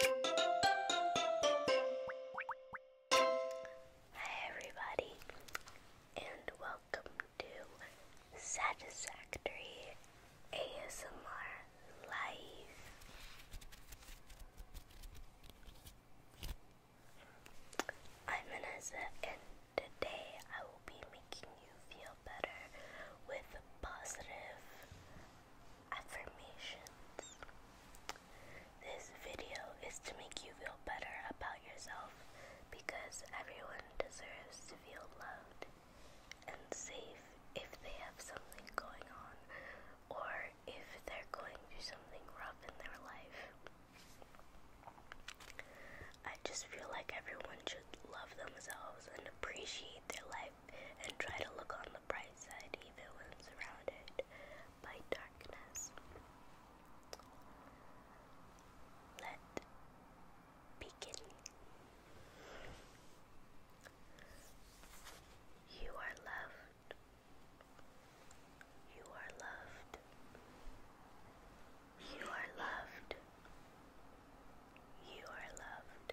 Hi everybody and welcome to Satisfactory ASMR Live. I'm Vanessa and today I will be making you feel better with positive affirmations. This video is to make you feel better about yourself because everyone deserves to feel loved and safe if they have something going on or if they're going through something rough in their life. I just feel like everyone should love themselves and appreciate their life and try to look on the bright side even when surrounded by darkness. Let begin. You are loved. You are loved. You are loved. You are loved.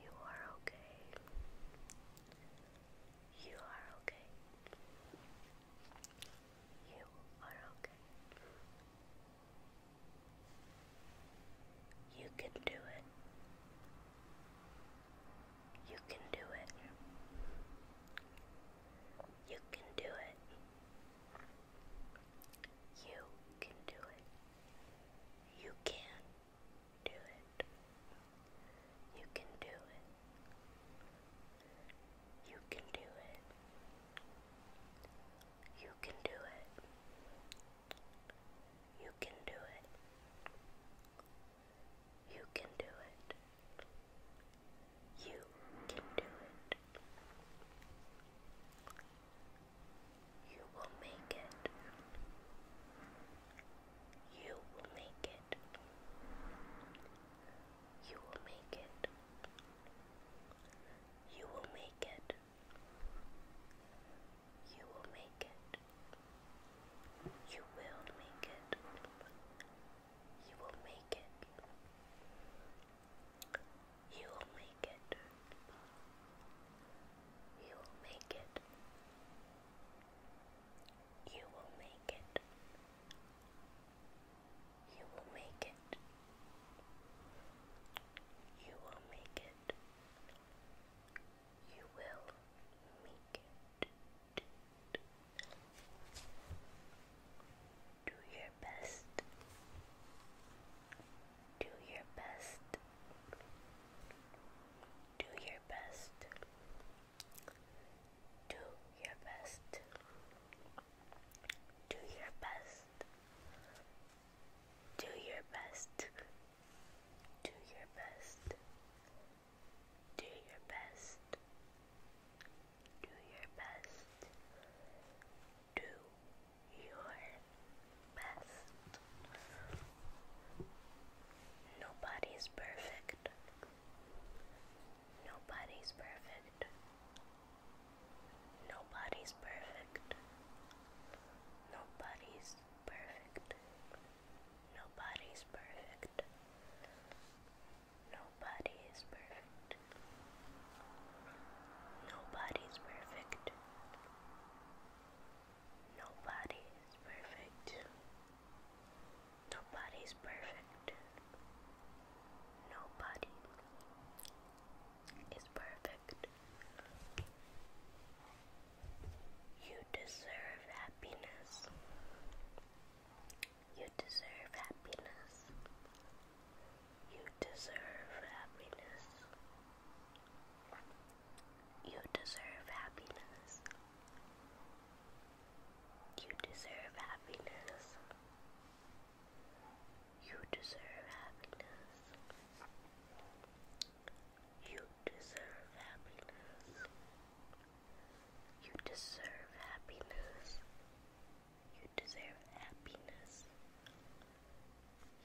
You are okay. You are okay. You are okay. You can do it. You can do it. You can do it. You can do it. You can do it. You can do it. You can do it. You can do it. You can do it. You can do it. You can do it. You will make it. You will make it. You will make it. You will make it. You will make it. You will make it. You will make it. You will make you will make it. You will make it. You will make it. You will make it. You will make it. Do your best. Do your best. Do your best. Do your best. Do your best. Do your best. Do your best. Do your best. Do your best. Nobody's perfect. Nobody's perfect. Nobody's perfect. Nobody's perfect. Nobody's perfect. Nobody is perfect. Nobody's perfect. Nobody is perfect. Nobody is perfect. Nobody is perfect. You deserve happiness. You deserve happiness. You deserve happiness. You deserve happiness. You deserve happiness. You deserve happiness. You deserve happiness. You deserve happiness. You deserve happiness. You deserve happiness.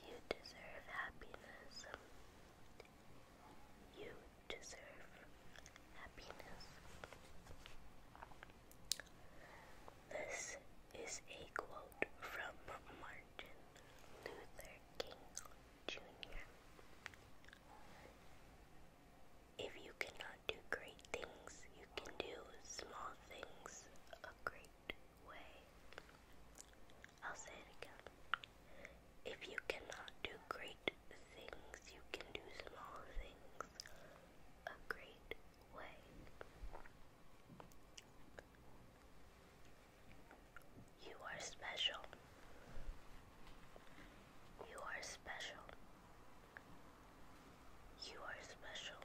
You deserve happiness. You deserve happiness. This is a quote from Martin Luther King Jr. If you cannot do great things, you can do small things. great way. I'll say it again. If you cannot do great things, you can do small things a great way. You are special. You are special. You are special.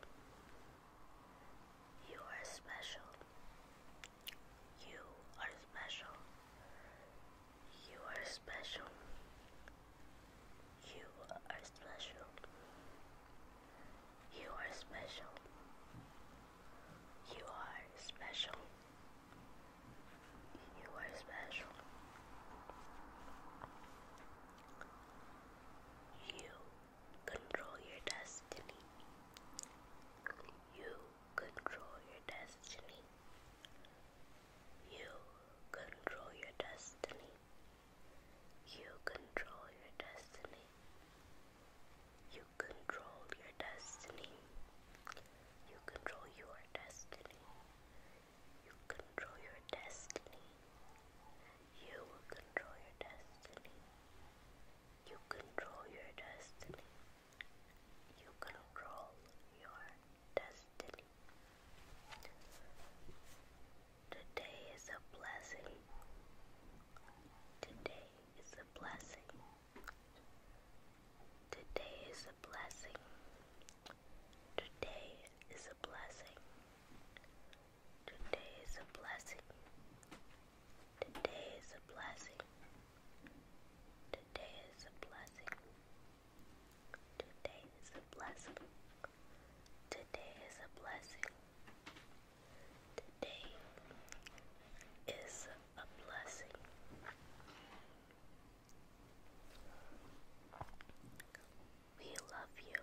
You are special. You are special. You are special. You are special. You are special. You are special. You are special. You are special. You control your destiny. You control your destiny. You control your destiny. You control your destiny. You control your destiny. You control your destiny. You control your destiny. You control your destiny. You you control your destiny. You control your destiny. Today is a blessing. Today is a blessing. Today is a blessing. Today is a blessing. Today is a blessing. Today is a blessing. Today is a blessing. Today is a blessing. Today is a blessing. Today is a blessing. Today is a blessing. We love you.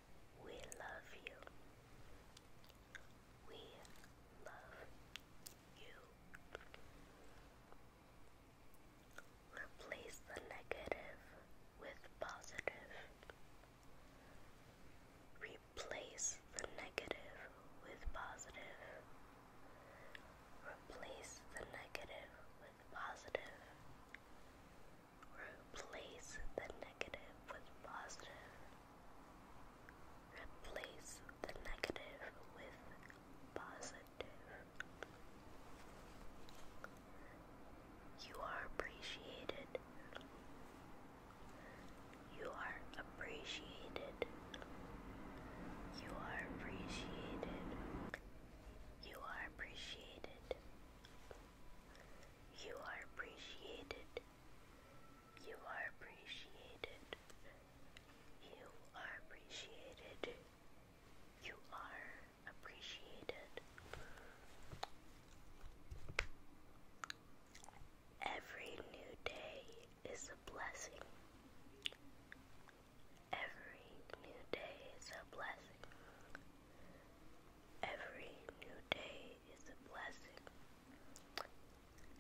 We love you. We love you. Replace the negative with positive. Replace the negative with positive. Replace the negative with positive. Replace the negative with positive. Replace the negative with positive. You are appreciated. You are appreciated. You are appreciated. You are appreciated. You are appreciated. You are appreciated. You are appreciated. You are appreciated. You are appreciated. Every new day is a blessing. Every new day is a blessing. Every new day is a blessing.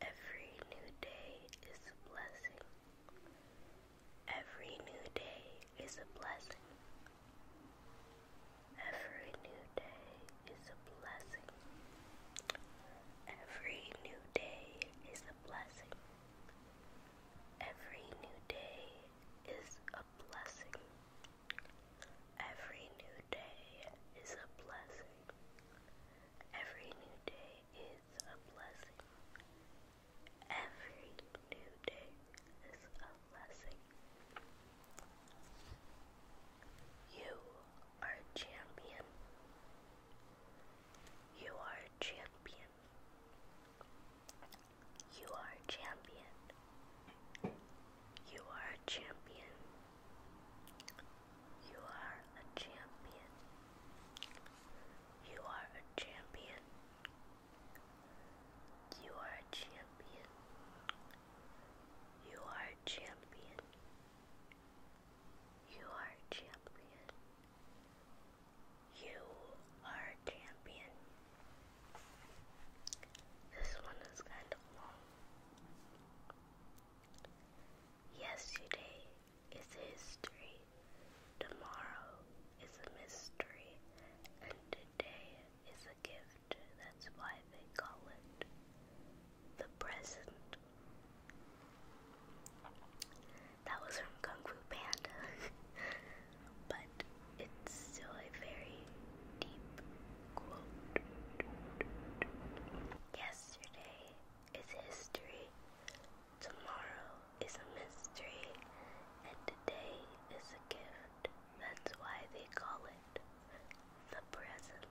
Every new day is a blessing. Every new day is a blessing. Every new day is a blessing. Every new day is a blessing. Every new day is a blessing. Every new day is a blessing. Every new day is a blessing. Every new day is a blessing. You are a champion. You are a champion. You are a champion. You are a champion. You are a champion. You are a champion. You are a champion. You are a champion. You are a champion. You are a champion. This one is kind of long. Yesterday is history, tomorrow is a mystery, and today is a gift. That's why they call it the present. That was from Kung Fu Panda. but it's still a very deep quote. Yesterday is history, tomorrow is a mystery, and today is a gift. That's why they call it the present.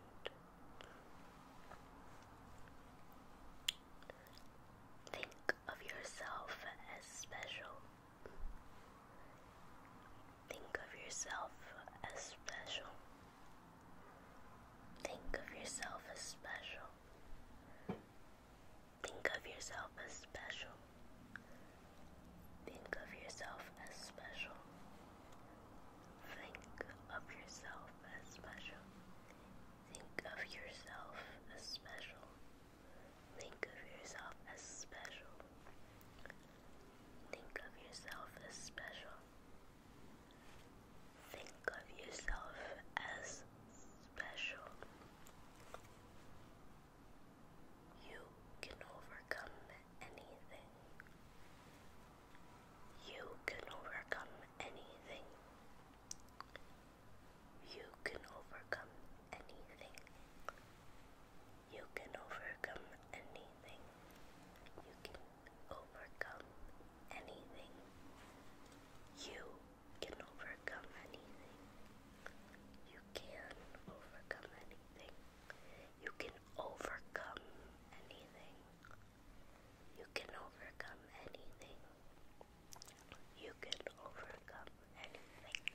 Think of yourself as special Think of yourself as special. Think of yourself as special. Think of yourself as special. Think of yourself as special. Think of yourself as special. Think of yourself as special. Think of yourself as special. Think of yourself as special. Think of yourself as special. You can overcome anything. You can overcome anything. You can overcome anything. You can overcome anything. You can overcome anything. You can overcome anything. You can overcome anything. You can overcome anything. You can overcome anything.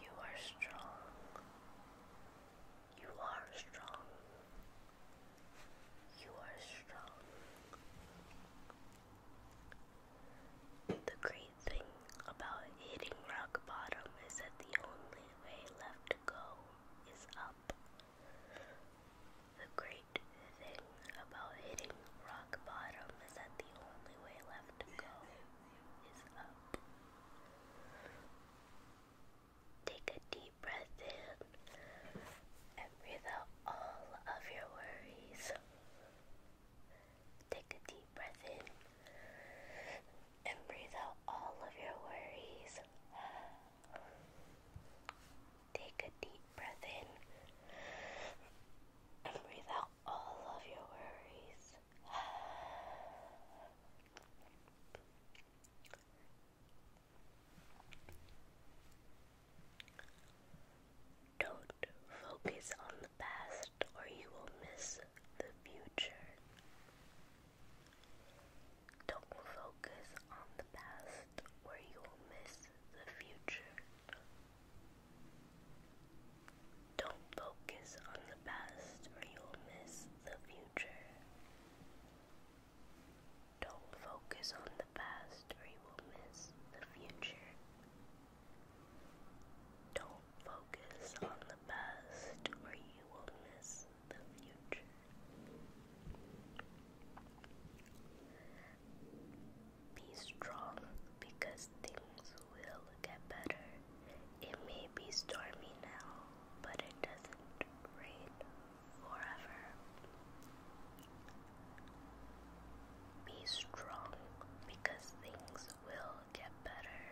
you are strong. You are strong. You are strong. The great thing about hitting rock bottom is that the only way left to go is up. The great thing about hitting rock bottom is that the only way left to go is up. Take a deep breath in and breathe out all of your worries. Take a deep breath in and breathe out all of your worries. Take a deep breath in and breathe out all of your worries. Don't focus on the past or you will miss the future. Don't focus on the past or you will miss the future. Don't focus on the past or you'll miss the future. Don't focus on the past or you will miss the future. Don't focus on the past or you will miss the future. Be strong because things will get better. It may be stormy now, but it doesn't rain forever. Be strong because things will get better.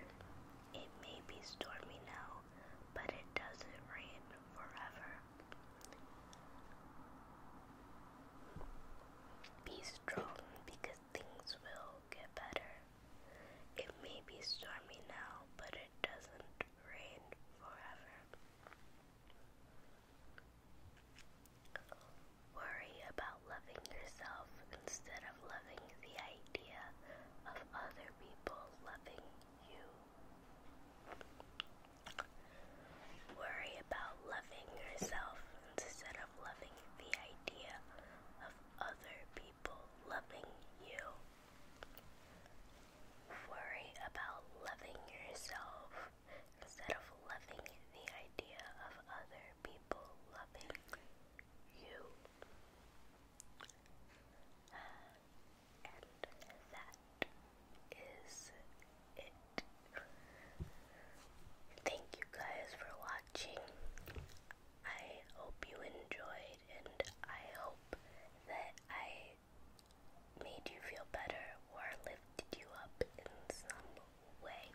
It may be stormy now, but it doesn't rain forever. Be strong because things will get better. It may be stormy now, but it doesn't rain forever. Worry about loving yourself instead of loving the idea of other people loving you. Worry about loving yourself instead of loving the idea of other people loving you. Worry about loving yourself instead of loving the idea of other people loving you. and that is it. Thank you guys for watching. I hope you enjoyed, and I hope that I made you feel better or lifted you up in some way.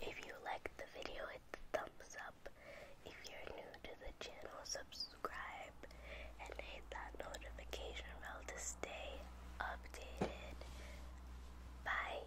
If you liked the video, hit the thumbs up. If you're new to the channel, subscribe and hit that notification bell to stay updated. Bye.